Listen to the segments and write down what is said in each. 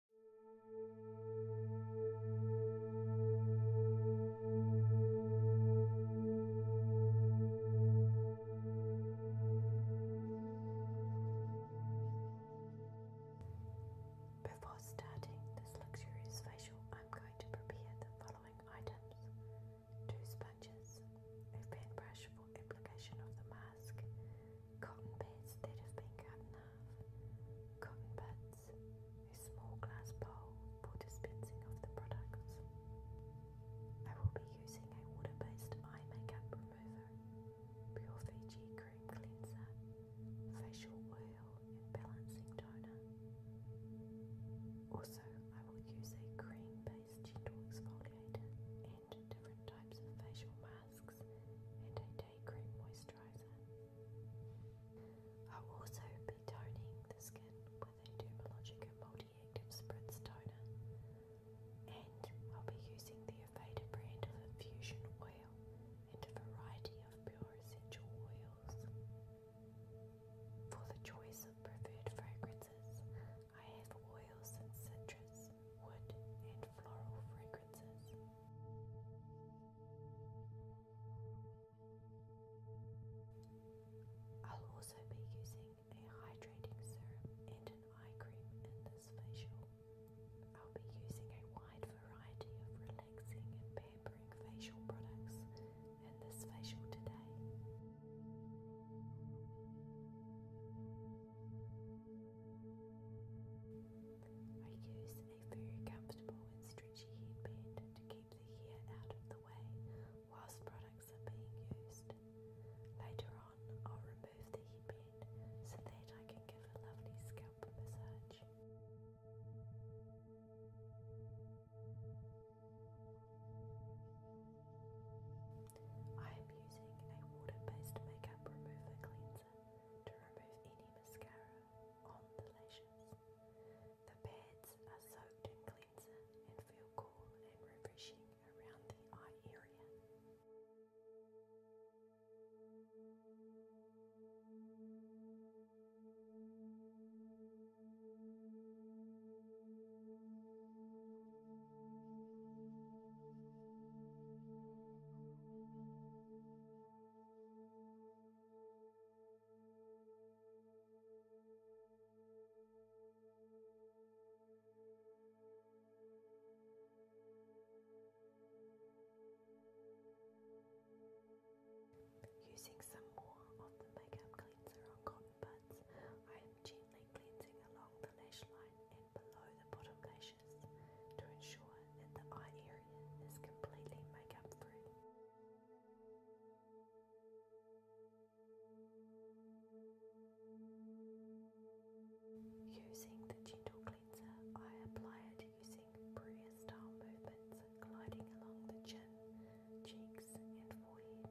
Before starting this luxurious facial, I'm going to prepare the following items two sponges, a fan brush for application of the mask, cotton pads that have been cut in Cotton pads. A small glass bowl for dispensing of the products. I will be using a water-based eye makeup remover, Pure Fiji cream cleanser, facial oil and balancing toner. Also, I will use a cream-based gentle exfoliator and different types of facial masks day cream moisturizer. I'll also be toning the skin with a Dermalogica multi-active spritz toner, and I'll be using the Aveda brand of infusion oil and a variety of pure essential oils. For the choice of preferred fragrances, I have oils and citrus, wood, and floral fragrances. I'll also be using a hydrating serum and an eye cream in this facial. I'll be using a wide variety of relaxing and pampering facial products in this facial today. I use a very comfortable and stretchy headband to keep the hair out of the way whilst products are being used. Later on, I'll remove the headband so that I can give a lovely scalp massage. I am using a water based makeup remover cleanser to remove any the lashes. The pads are soaked in cleanser and feel cool and refreshing around the eye area. Using some more of the makeup cleanser on cotton buds, I am gently cleansing along the lash line and below the bottle caches to ensure that the eye area is completely makeup free. Using the gentle cleanser, I apply it using Bria style movements gliding along the chin, cheeks, and forehead.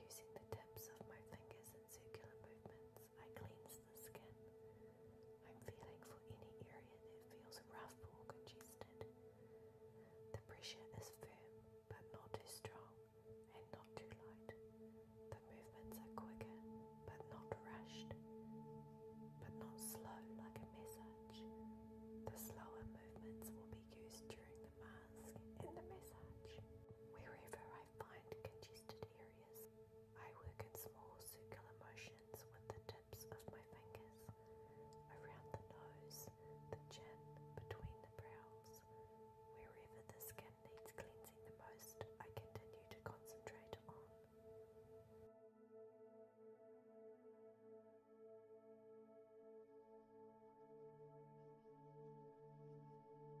Using the tips of my fingers in circular movements, I cleanse the skin. I'm feeling for any area that feels rough or congested. The pressure is firm, but not too strong and not too light. The movements are quicker, but not rushed but not slow like a massage. The slower movements will be used during the mask and the massage. Wherever I find congested areas, I work in small circular motions with the tips of my fingers around the nose, the chin, between the brows. Wherever the skin needs cleansing the most, I continue to concentrate on. The skin has been cleansed of makeup and now needs a second cleanse.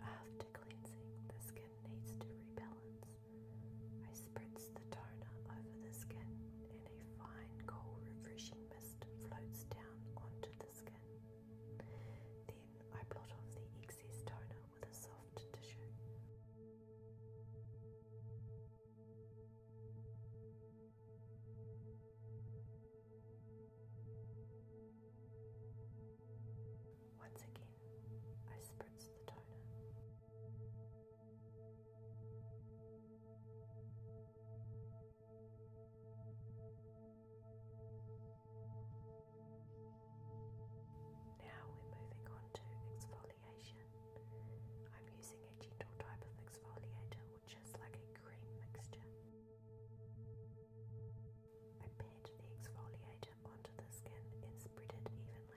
After cleansing, the skin needs to rebalance. I spritz the toner over the skin and a fine, cool, refreshing mist floats down onto the skin. Then I blot off the excess toner with a soft tissue. Once again, I spritz the toner. Now we're moving on to exfoliation. I'm using a gentle type of exfoliator which is like a cream mixture. I pat the exfoliator onto the skin and spread it evenly.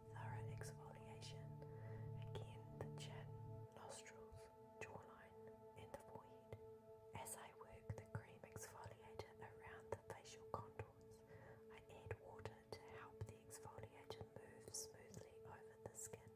thorough exfoliation. Again, the chin, nostrils, jawline, and the forehead. As I work the cream exfoliator around the facial contours, I add water to help the exfoliator move smoothly over the skin.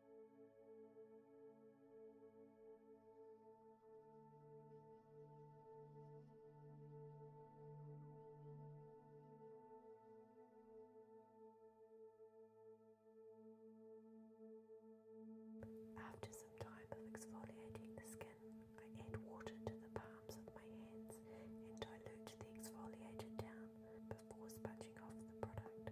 After some time of exfoliating the skin, I add water to the palms of my hands and dilute the exfoliated down before sponging off the product.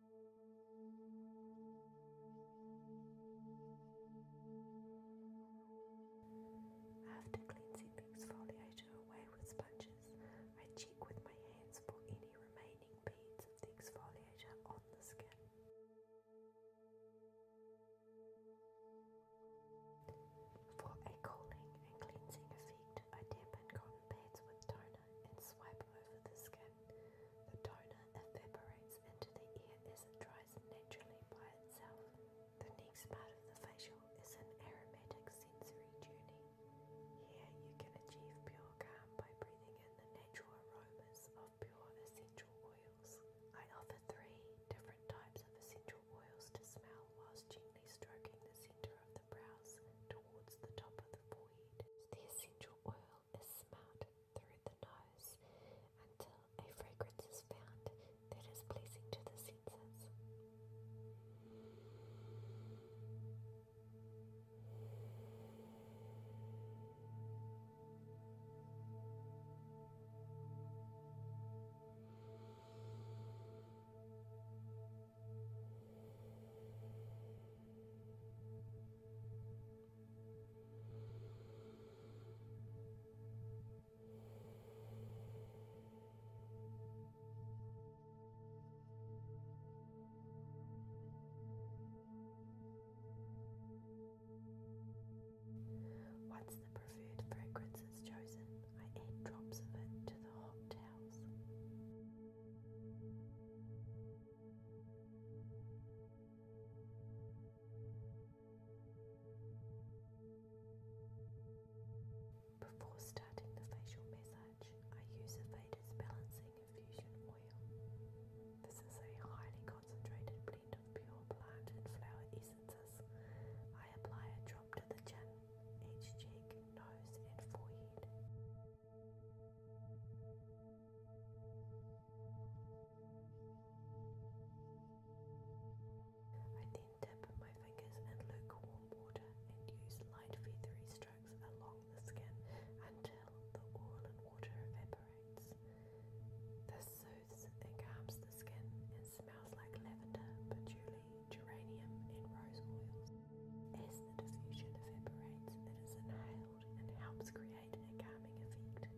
After cleansing the exfoliator away with sponges, I check with my hands for any remaining beads of the exfoliator on the skin. For a cooling and cleansing effect, I dampen cotton pads with toner and swipe over the skin. The toner evaporates into the air as it dries naturally by itself. The next part of the facial is an aromatic sensory journey. Here you can achieve pure calm by breathing in the natural aromas of pure essential oils. I offer three different types of essential oils to smell whilst gently stroking the centre of the brows towards the top of the forehead. The essential oil is smelled through the nose until a fragrance is found that is pleasing to the senses. Once the preferred fragrance is chosen, I add drops of it to the hot towels. Before starting the facial massage, I use a Avada's Balancing Infusion Oil. This is a highly concentrated blend of pure plant and flower essences. I apply a drop to the chin, each cheek, nose, and forehead. I then dip my fingers in lukewarm water and use light feathery strokes along the skin until the oil and water evaporates. This soothes and calms the skin and smells like lavender, patchouli, geranium, and rose oils. As the diffusion evaporates, it is inhaled and helps create creating a calming effect.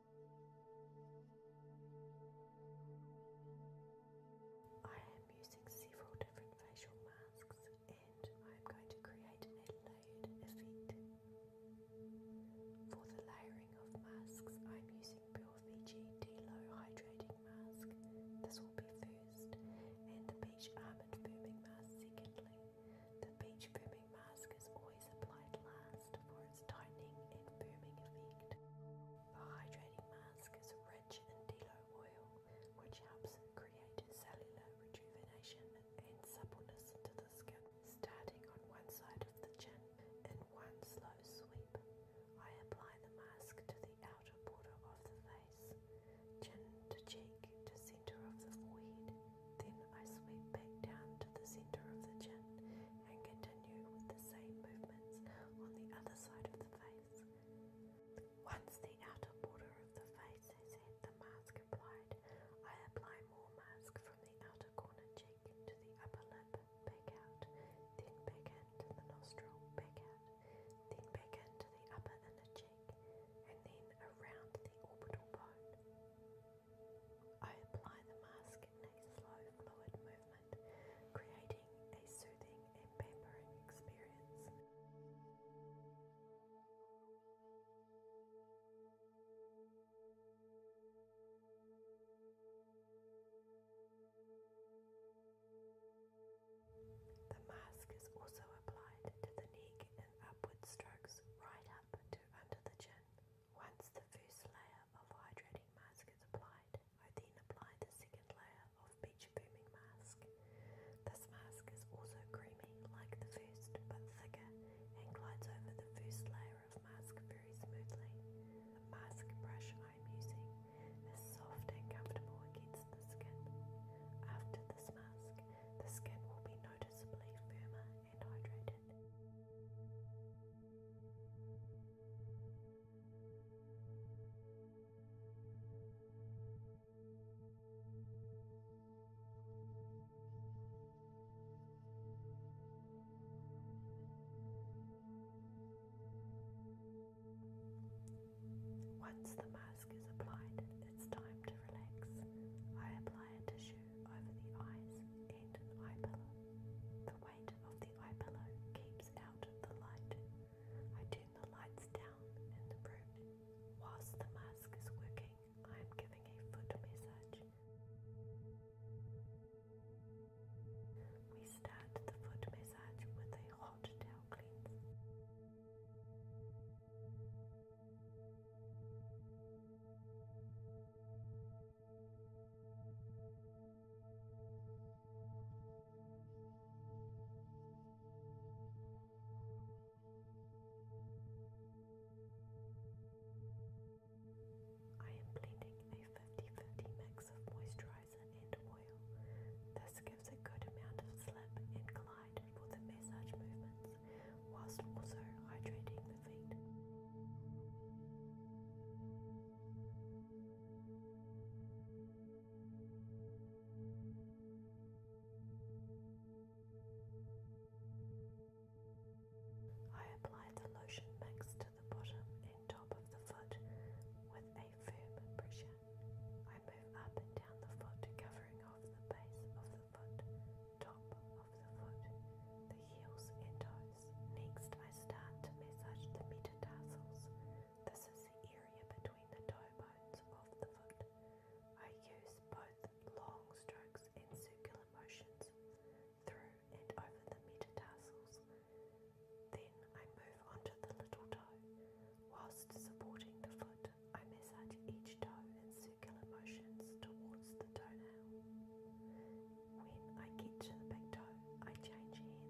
I am using several different facial masks and I am going to create a layered effect. For the layering of masks, I am using Pure Fiji D-Low Hydrating Mask. This will be first, and the Peach Almond Firming Mask secondly. The Peach Firming mask is always applied last for its tightening and firming effect. The hydrating mask is rich in delo oil, which helps create cellular rejuvenation and suppleness to the skin. Starting on one side of the chin, in one slow sweep, I apply the mask to the outer border of the face, chin to cheek to center of the forehead, then I sweep back down to the center of the chin and continue with the same movements on the other side of the face. Once the outer border of the face has had the mask applied, I apply more mask from the outer corner cheek to the upper lip, back out, then back into the nostril, back out, then back into the upper inner cheek, and then around the orbital bone. I apply the mask in a slow, fluid movement, creating a soothing and pampering experience. The mask is also applied to the neck in upward strokes right up to under the chin. Once the first layer of hydrating mask is applied, I then apply the second layer of beach booming mask. This mask is also creamy like the first but thicker and glides over the first layer of mask very smoothly. The mask brush I am using is soft and comfortable against the skin. After this mask, the skin will be noticeably firmer and Once the mask is applied, it's time to relax. I apply a tissue over the eyes and eye pillow. The weight of the eye pillow keeps out the light. I turn the lights down in the room. Whilst the mask is working, I am giving a foot massage. We start the foot massage with a hot towel cleanse. I am blending a 50-50 mix of moisturizer and oil. This gives a good amount of slip and glide for the massage movements whilst also hydrating the feet. I applied the lotion mix to the bottom and top of the foot with a firm pressure. I move up and down the foot, covering off the base of the foot top of the foot, the heels and toes. Next, I start to massage the metatarsals. This is the area between the toe bones of the foot. I use both long strokes and circular motions through and over the metatarsals. Then I move on to the little toe. Whilst supporting the foot, I massage each toe and circular motions towards the toenail. When I get to the big toe, I change hands.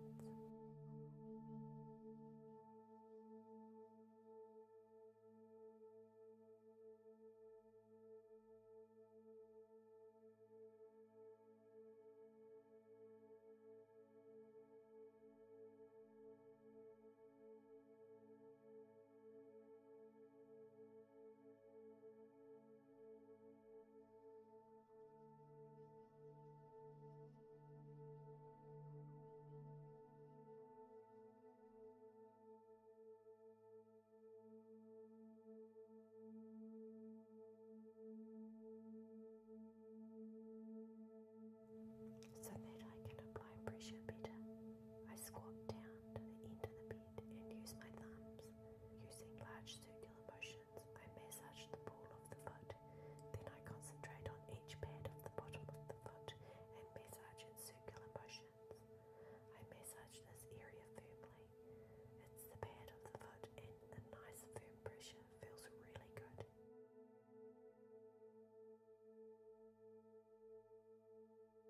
So that I can apply pressure better, I squat down to the end of the bed and use my thumbs Using large circular motions, I massage the ball of the foot. Then I concentrate on each pad of the bottom of the foot and massage in circular motions. I massage this area firmly. It's the pad of the foot, and the nice firm pressure feels really good. Then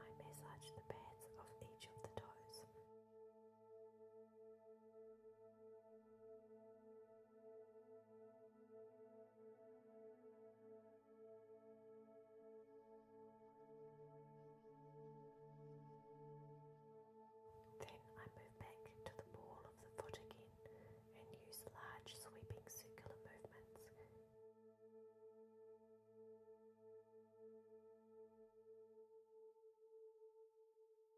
I massage the pads of each of the toes. Then I move back to the ball of the foot again and use large sweeping circular movements.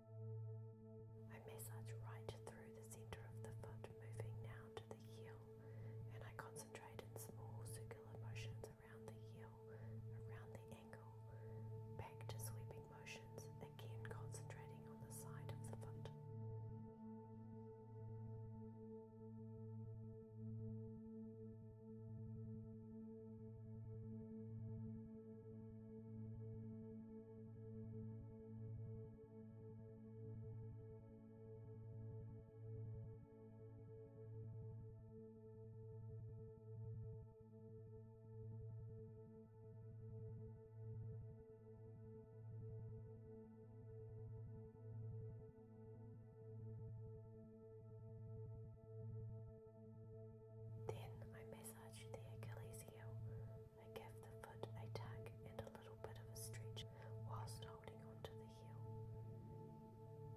I massage right through the center of the foot, moving now to the heel, and I concentrate in small circular motions around the heel, around the ankle, back to sweeping motions, again concentrating on the side of the foot. Then I massaged the Achilles heel I gave the foot a tug and a little bit of a stretch whilst holding on the heel.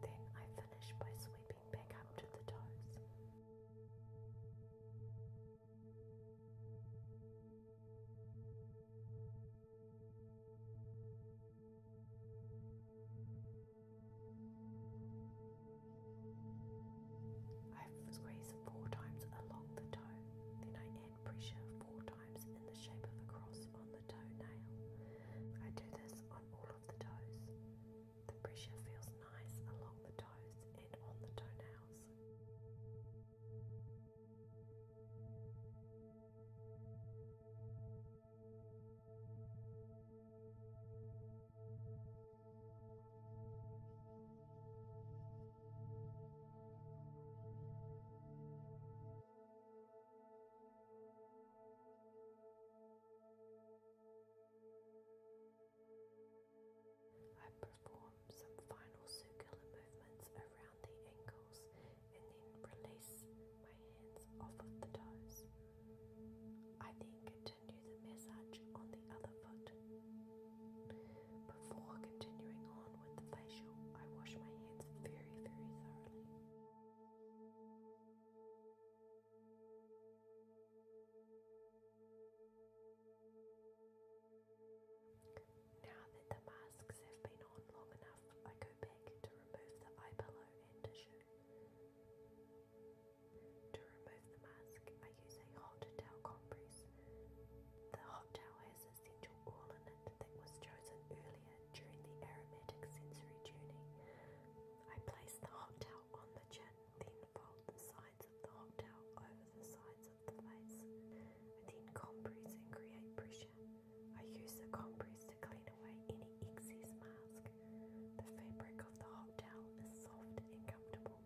Then I finished by sweeping back up to the toes. I've squeezed four times along the toe, then I end pressure four times in the shape of a cross on the toenail. I do this on all of the toes. The pressure feels nice along the toes and on the toenails. I perform some final circular movements around the ankles and then release my hands off of the toes. I then continue the massage on the other foot. Before continuing on with the facial, I wash my hands very, very thoroughly. Now that the masks have been on long enough, I go back to remove the eye pillow and tissue. To remove the mask, I use a hot towel compress. The hot towel has was a central ornament that was chosen earlier during the aromatic sensory journey. I place the hot towel on the chin, then fold the sides of the hot towel over the sides of the face. I then compress and create pressure. I use the compress to clean away any excess mask. The fabric of the hot towel is soft and comfortable.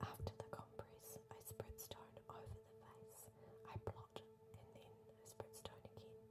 After the compress, I spread stone over the face. I blot and then I spread stone again.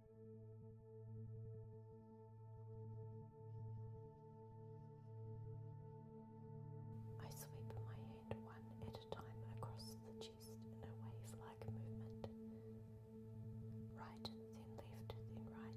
I sweep my hand one at a time across the chest in a wave like movement. Right, then left, then right.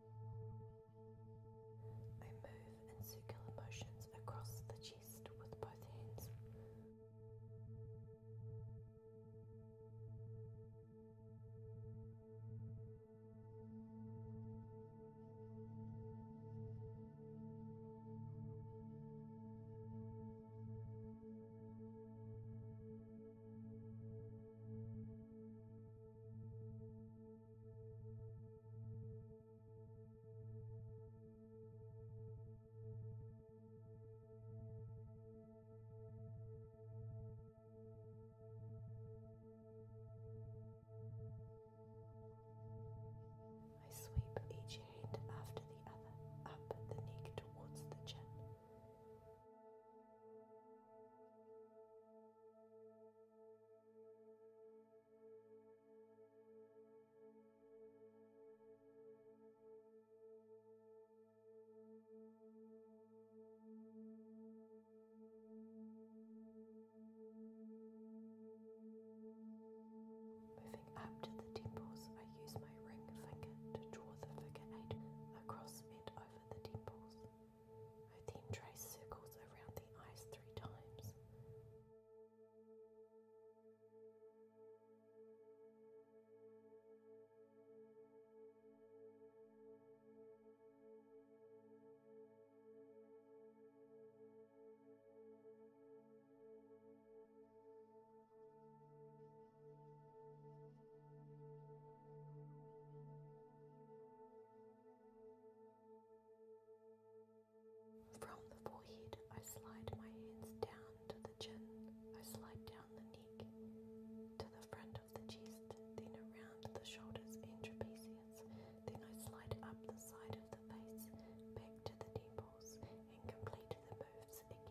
I move in circular motions across the chest with both hands. I sweep each hand after the other up the neck towards the chin. Moving up to the temples, I use my ring finger to draw the figure eight across and over the temples. I then trace circles around the eyes three times. From the forehead, I slide my hands down to the chin. I slide down the neck to the front of the chest, then around the shoulders and trapezius. Then I slide up the side of the face, back to the temples, and complete the moves again.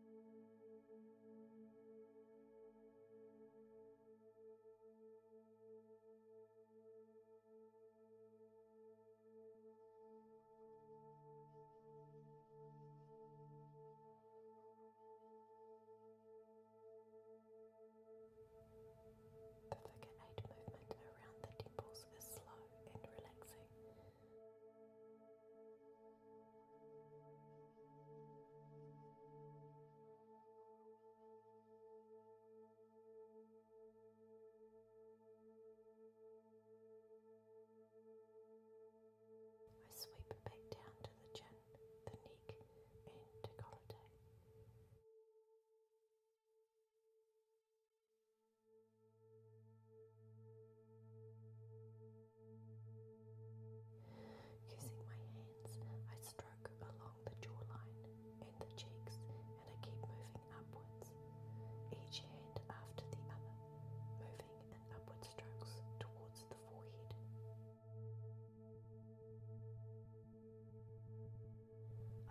The Figure 8 movement around the temples is slow and relaxing I sweep back down to the chin, the neck, and decollete. Using my hands, I stroke along the jawline and the cheeks, and I keep moving upwards, each hand after the other, moving in upward strokes towards the forehead.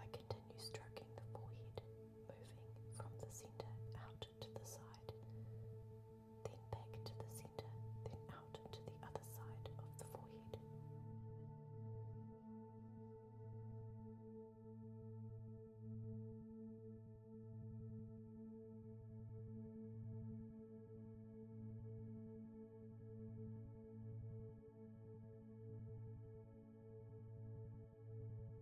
I continue stroking the forehead, moving from the center out out to the side, then back to the center, then out to the other side of the forehead.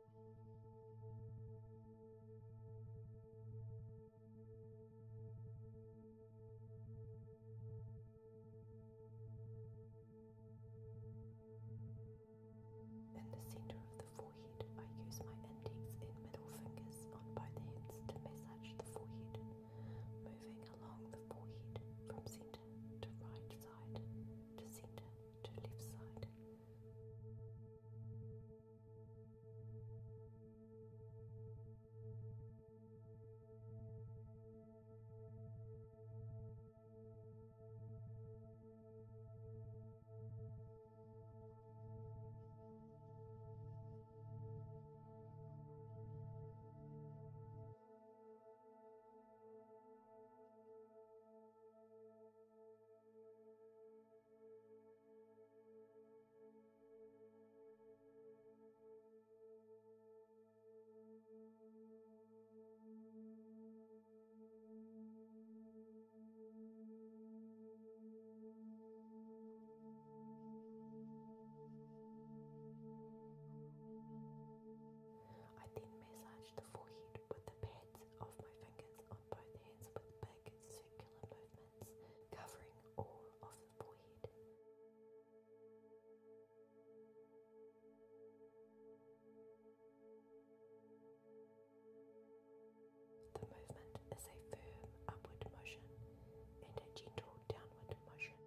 In the center of the forehead, I use my index and middle fingers on both hands to massage the forehead, moving along the forehead from center to right side to center to left side. I then massage the forehead with the pads of my fingers on both hands with big circular movements covering all of the forehead. The movement is a firm upward motion and a gentle downward motion.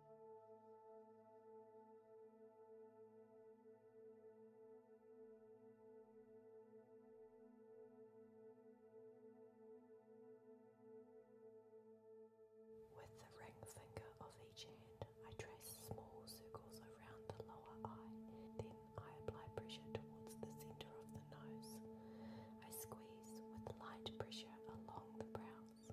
With the ring finger of each hand, I trace small circles around the lower eye. Then I apply pressure towards the center of the nose. I squeeze with light pressure along the brows.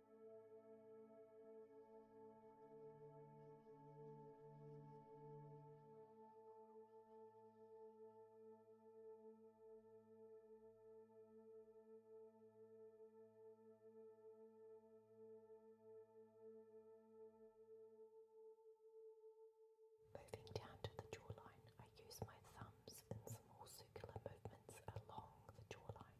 Moving down to the jawline, I use my thumbs in small circular movements along the jawline.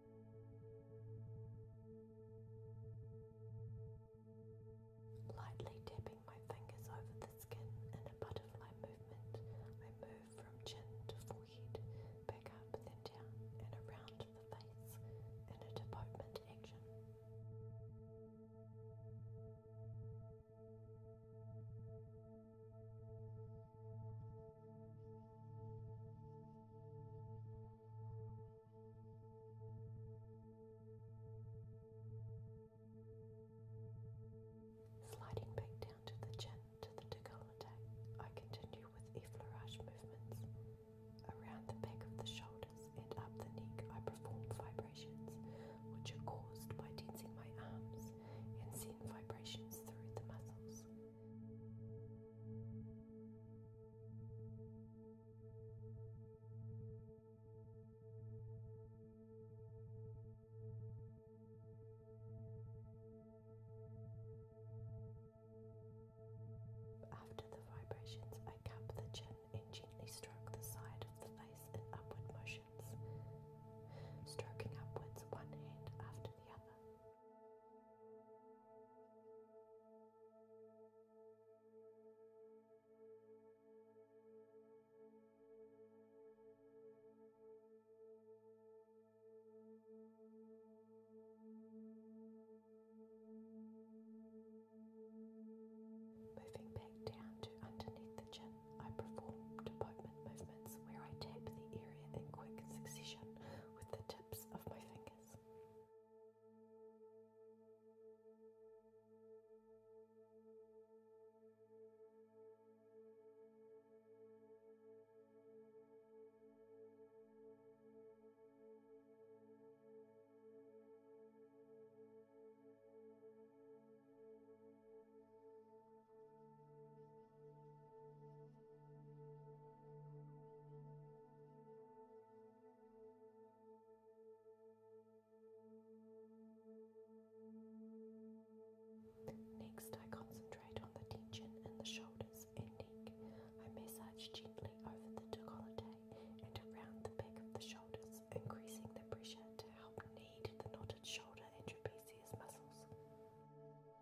Lightly tapping my fingers over the skin in a butterfly movement, I move from chin to forehead, back up, then down, and around the face in a department action. Sliding back down to the chin to the decollete, I continue with effleurage movements. Around the back of the shoulders and up the neck, I perform vibrations which are caused by tensing my arms and sending vibrations through the muscles. After the vibrations, I cup the chin and gently stroke the side of the face in upward motions, stroking upwards one hand after the other. Moving back down to underneath the chin, I perform department movements where I tap the area in quick succession with the tips of my fingers. Next, I concentrate on the tension in the shoulders and neck. I massage gently over the decollete and around the back of the shoulders, increasing the pressure to help knead the knotted shoulder and trapezius muscles. Moving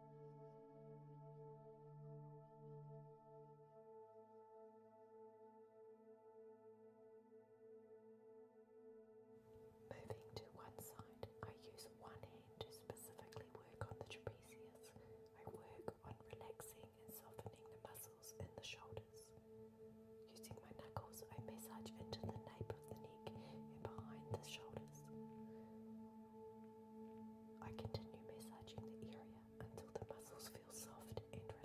to one side, I use one hand to specifically work on the trapezius. I work on relaxing and softening the muscles in the shoulders. Using my knuckles, I massage into the nape of the neck and behind the shoulders. I continue massaging the area until the muscles feel soft and relaxed.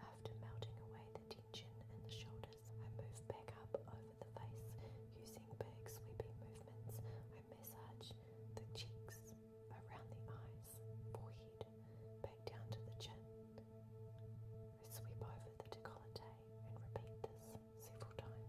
After melting away the tension in the shoulders, I move back up over the face using big sweeping movements. I massage the cheeks, around the eyes, forehead, back down to the chin. I sweep over the décolleté and repeat this several times.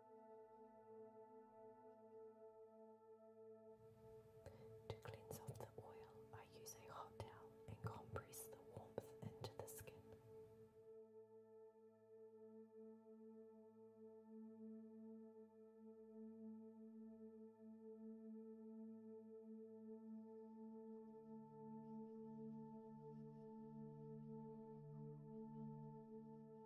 To cleanse off the oil, I use a hot towel and compress the warmth into the skin.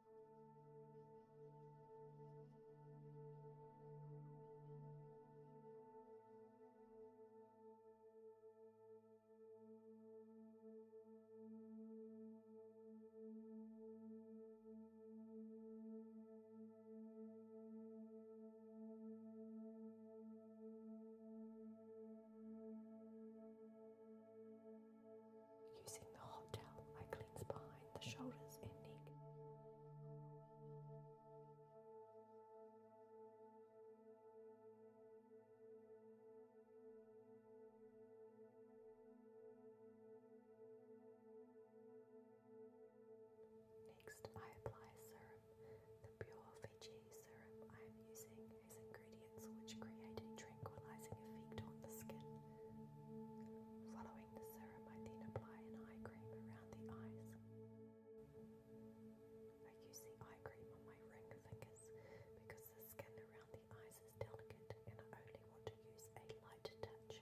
Using the hot towel, I cleanse behind the shoulders and neck. Next, I apply serum. The pure Fiji serum I am using has ingredients which create a tranquilizing effect on the skin. Following the serum, I then apply an eye cream around the eyes. I use the eye cream on my ring fingers because the skin around the eyes is delicate and I only want to use a light touch.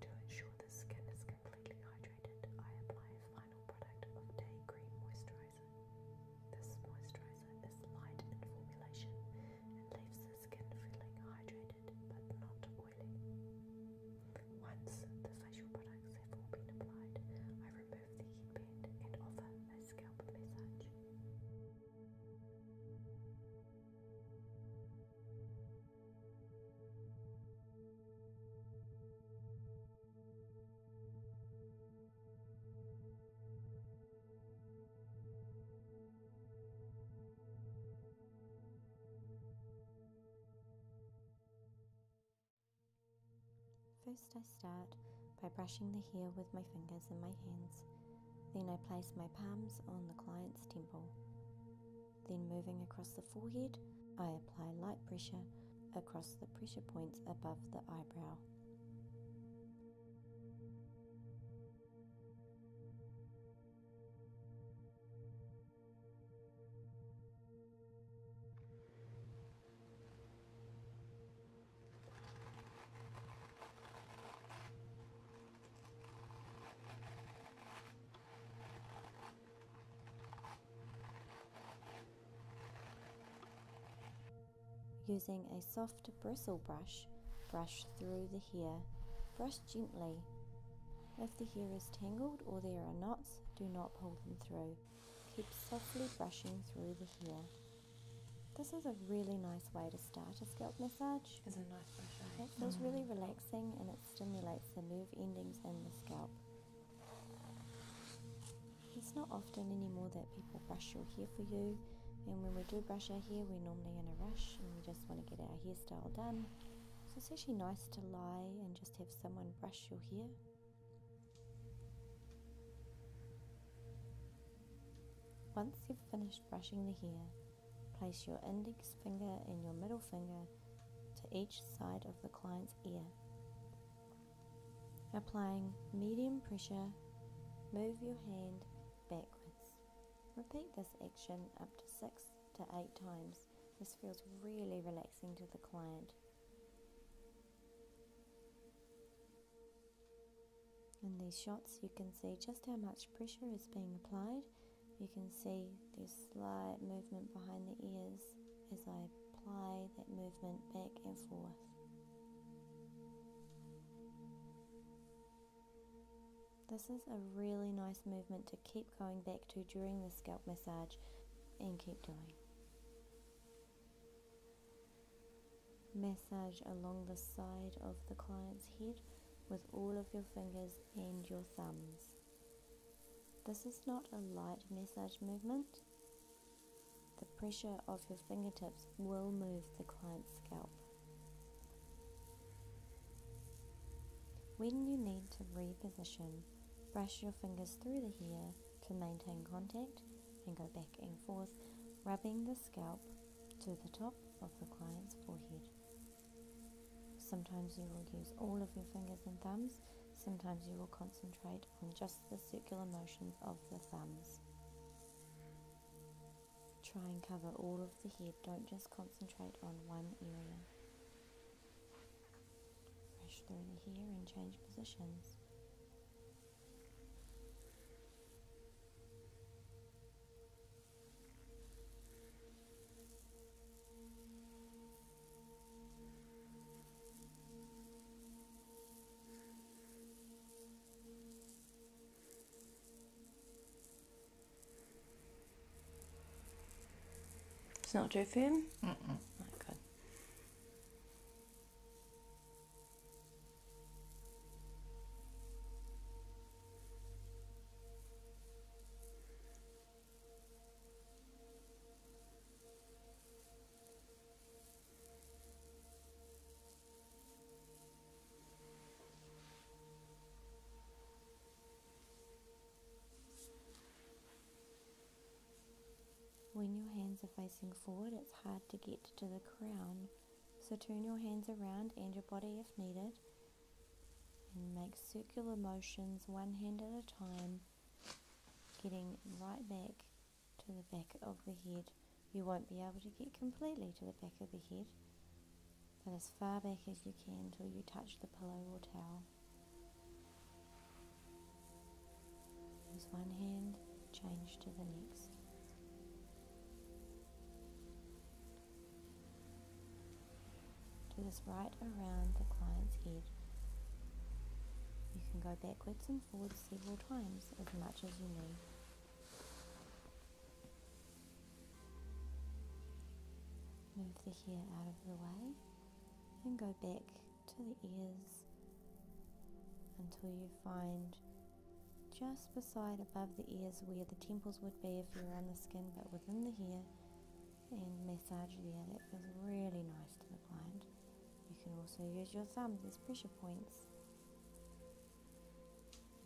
To ensure the skin is completely hydrated, I apply a final product of Day green Moisturizer. This moisturizer is light in formulation and leaves the skin feeling hydrated but not oily. Once the facial products have all been applied, I remove the band and offer a scalp massage. First, I start by brushing the hair with my fingers and my hands. Then I place my palms on the client's temple. Then moving across the forehead, I apply light pressure across the pressure points above the eyebrow. Using a soft bristle brush, brush through the hair. Brush gently. If the hair is tangled or there are knots, do not pull them through. Keep softly brushing through the hair. This is a really nice way to start a scalp massage. It's a nice massage. Eh? It feels mm. really relaxing and it stimulates the nerve endings in the scalp. It's not often anymore that people brush your hair for you, and when we do brush our hair, we're normally in a rush and we just want to get our hairstyle done. So it's actually nice to lie and just have someone brush your hair. Once you've finished brushing the hair, place your index finger and your middle finger to each side of the client's ear. Applying medium pressure, move your hand backwards. Repeat this action up to six to eight times. This feels really relaxing to the client. In these shots, you can see just how much pressure is being applied you can see there's slight movement behind the ears as I apply that movement back and forth. This is a really nice movement to keep going back to during the scalp massage and keep doing. Massage along the side of the client's head with all of your fingers and your thumbs. This is not a light massage movement. The pressure of your fingertips will move the client's scalp. When you need to reposition, brush your fingers through the hair to maintain contact and go back and forth, rubbing the scalp to the top of the client's forehead. Sometimes you will use all of your fingers and thumbs, sometimes you will concentrate on just the circular motions of the thumbs. Try and cover all of the head, don't just concentrate on one area. Brush through the hair and change positions. It's not too thin. -mm. Right, when your hands are facing forward, it's hard to get to the crown. So turn your hands around and your body if needed and make circular motions one hand at a time getting right back to the back of the head. You won't be able to get completely to the back of the head, but as far back as you can till you touch the pillow or towel. Use one hand, change to the next. Do this right around the client's head. You can go backwards and forwards several times as much as you need. Move the hair out of the way and go back to the ears until you find just beside above the ears where the temples would be if you were on the skin but within the hair and massage there. it feels really nice to the client. You can also use your thumbs as pressure points.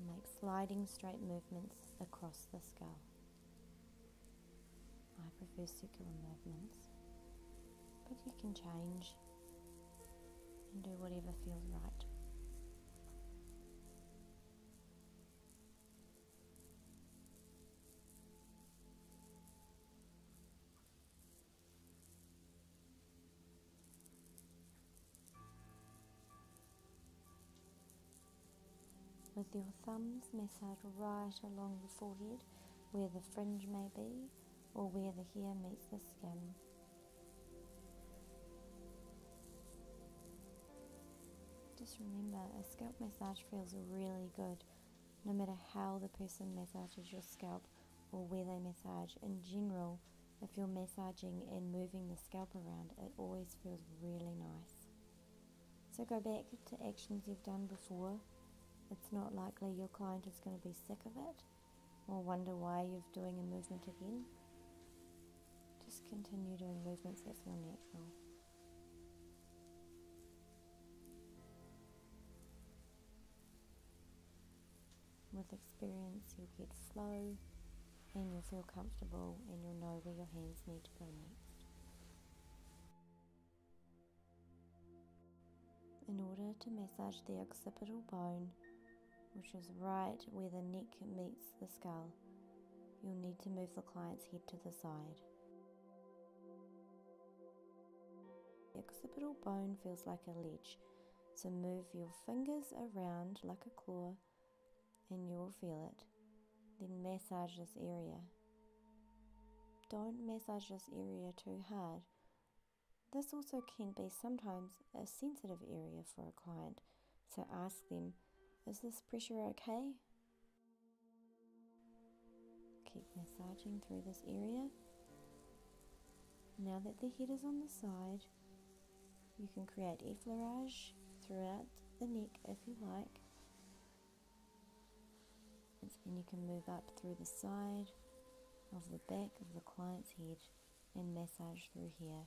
Make sliding straight movements across the skull. I prefer circular movements, but you can change and do whatever feels right. With your thumbs, massage right along the forehead where the fringe may be or where the hair meets the skin. Just remember, a scalp massage feels really good no matter how the person massages your scalp or where they massage. In general, if you're massaging and moving the scalp around, it always feels really nice. So go back to actions you've done before. It's not likely your client is going to be sick of it or wonder why you're doing a movement again. Just continue doing movements that feel natural. With experience, you'll get slow, and you'll feel comfortable and you'll know where your hands need to go next. In order to massage the occipital bone, which is right where the neck meets the skull, you'll need to move the client's head to the side occipital bone feels like a ledge, so move your fingers around like a claw and you will feel it. Then massage this area. Don't massage this area too hard. This also can be sometimes a sensitive area for a client, so ask them, is this pressure okay? Keep massaging through this area. Now that the head is on the side, you can create effleurage throughout the neck if you like. And you can move up through the side of the back of the client's head and massage through here.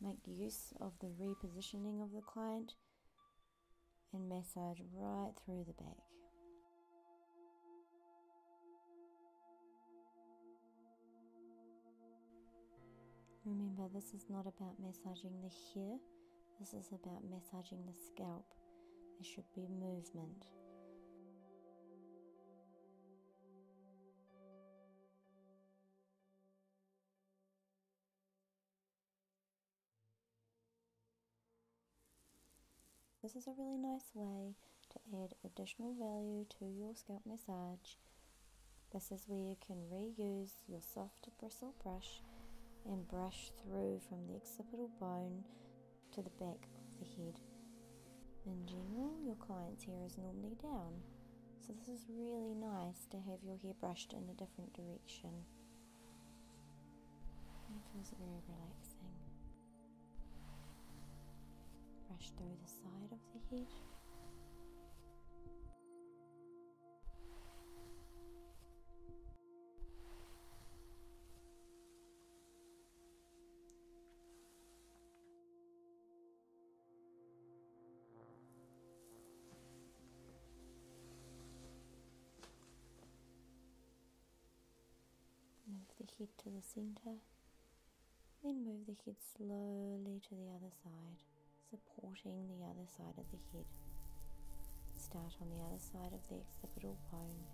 Make use of the repositioning of the client and massage right through the back. Remember, this is not about massaging the hair, this is about massaging the scalp. There should be movement. This is a really nice way to add additional value to your scalp massage. This is where you can reuse your soft bristle brush and brush through from the occipital bone to the back of the head. In general, your client's hair is normally down, so this is really nice to have your hair brushed in a different direction. It feels very relaxing. Brush through the side of the head. Move the head to the center, then move the head slowly to the other side, supporting the other side of the head. Start on the other side of the occipital bone.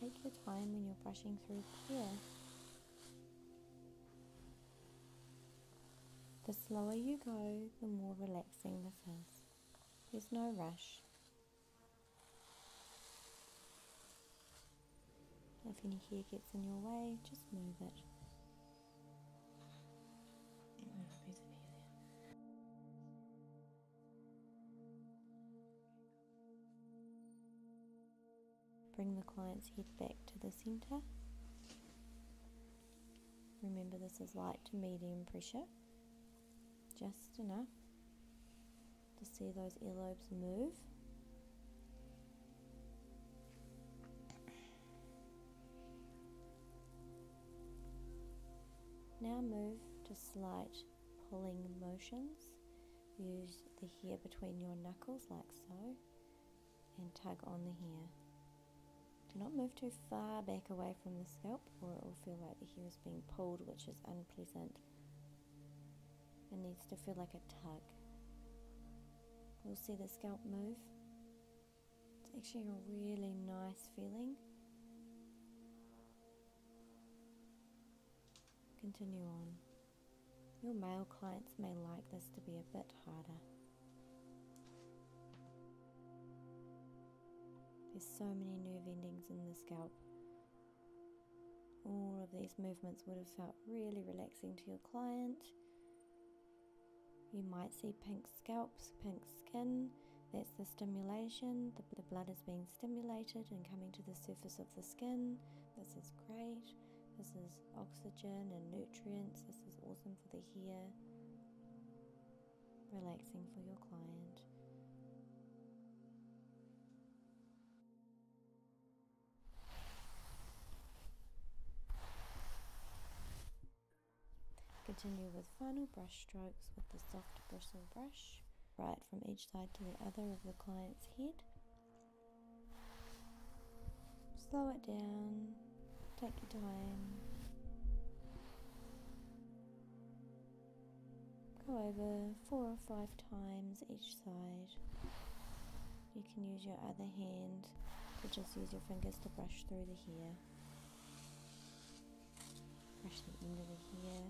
Take your time when you're brushing through clear. The slower you go, the more relaxing this is. There's no rush, if any hair gets in your way, just move it. Bring the client's head back to the centre. Remember this is light to medium pressure, just enough to see those earlobes move. Now move to slight pulling motions. Use the hair between your knuckles like so and tug on the hair. Do not move too far back away from the scalp or it will feel like the hair is being pulled which is unpleasant it needs to feel like a tug. You'll see the scalp move. It's actually a really nice feeling. Continue on. Your male clients may like this to be a bit harder. There's so many nerve endings in the scalp. All of these movements would have felt really relaxing to your client. You might see pink scalps, pink skin. That's the stimulation. The, blood is being stimulated and coming to the surface of the skin. This is great. This is oxygen and nutrients. This is awesome for the hair. Relaxing for your client. Continue with final brush strokes with the soft bristle brush, right from each side to the other of the client's head. Slow it down, take your time. Go over four or five times each side. You can use your other hand to just use your fingers to brush through the hair. Brush the end of the hair.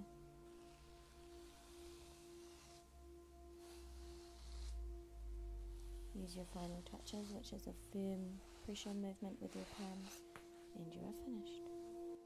Use your final touches, which is a firm pressure movement with your palms, and you are finished.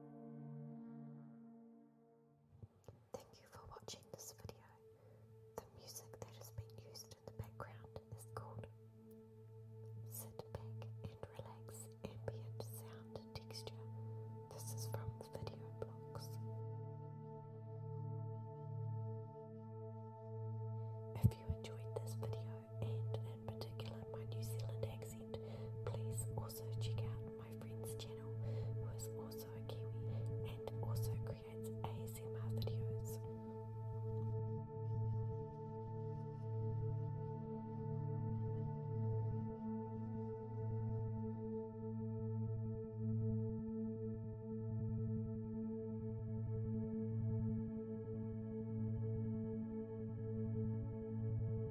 Thank you for watching this video. The music that has been used in the background is called Sit Back and Relax Ambient Sound Texture. This is from the video blocks. If you enjoyed this video and in particular my New Zealand accent, Please also check out my friend's channel, who is also a Kiwi and also creates ASMR videos.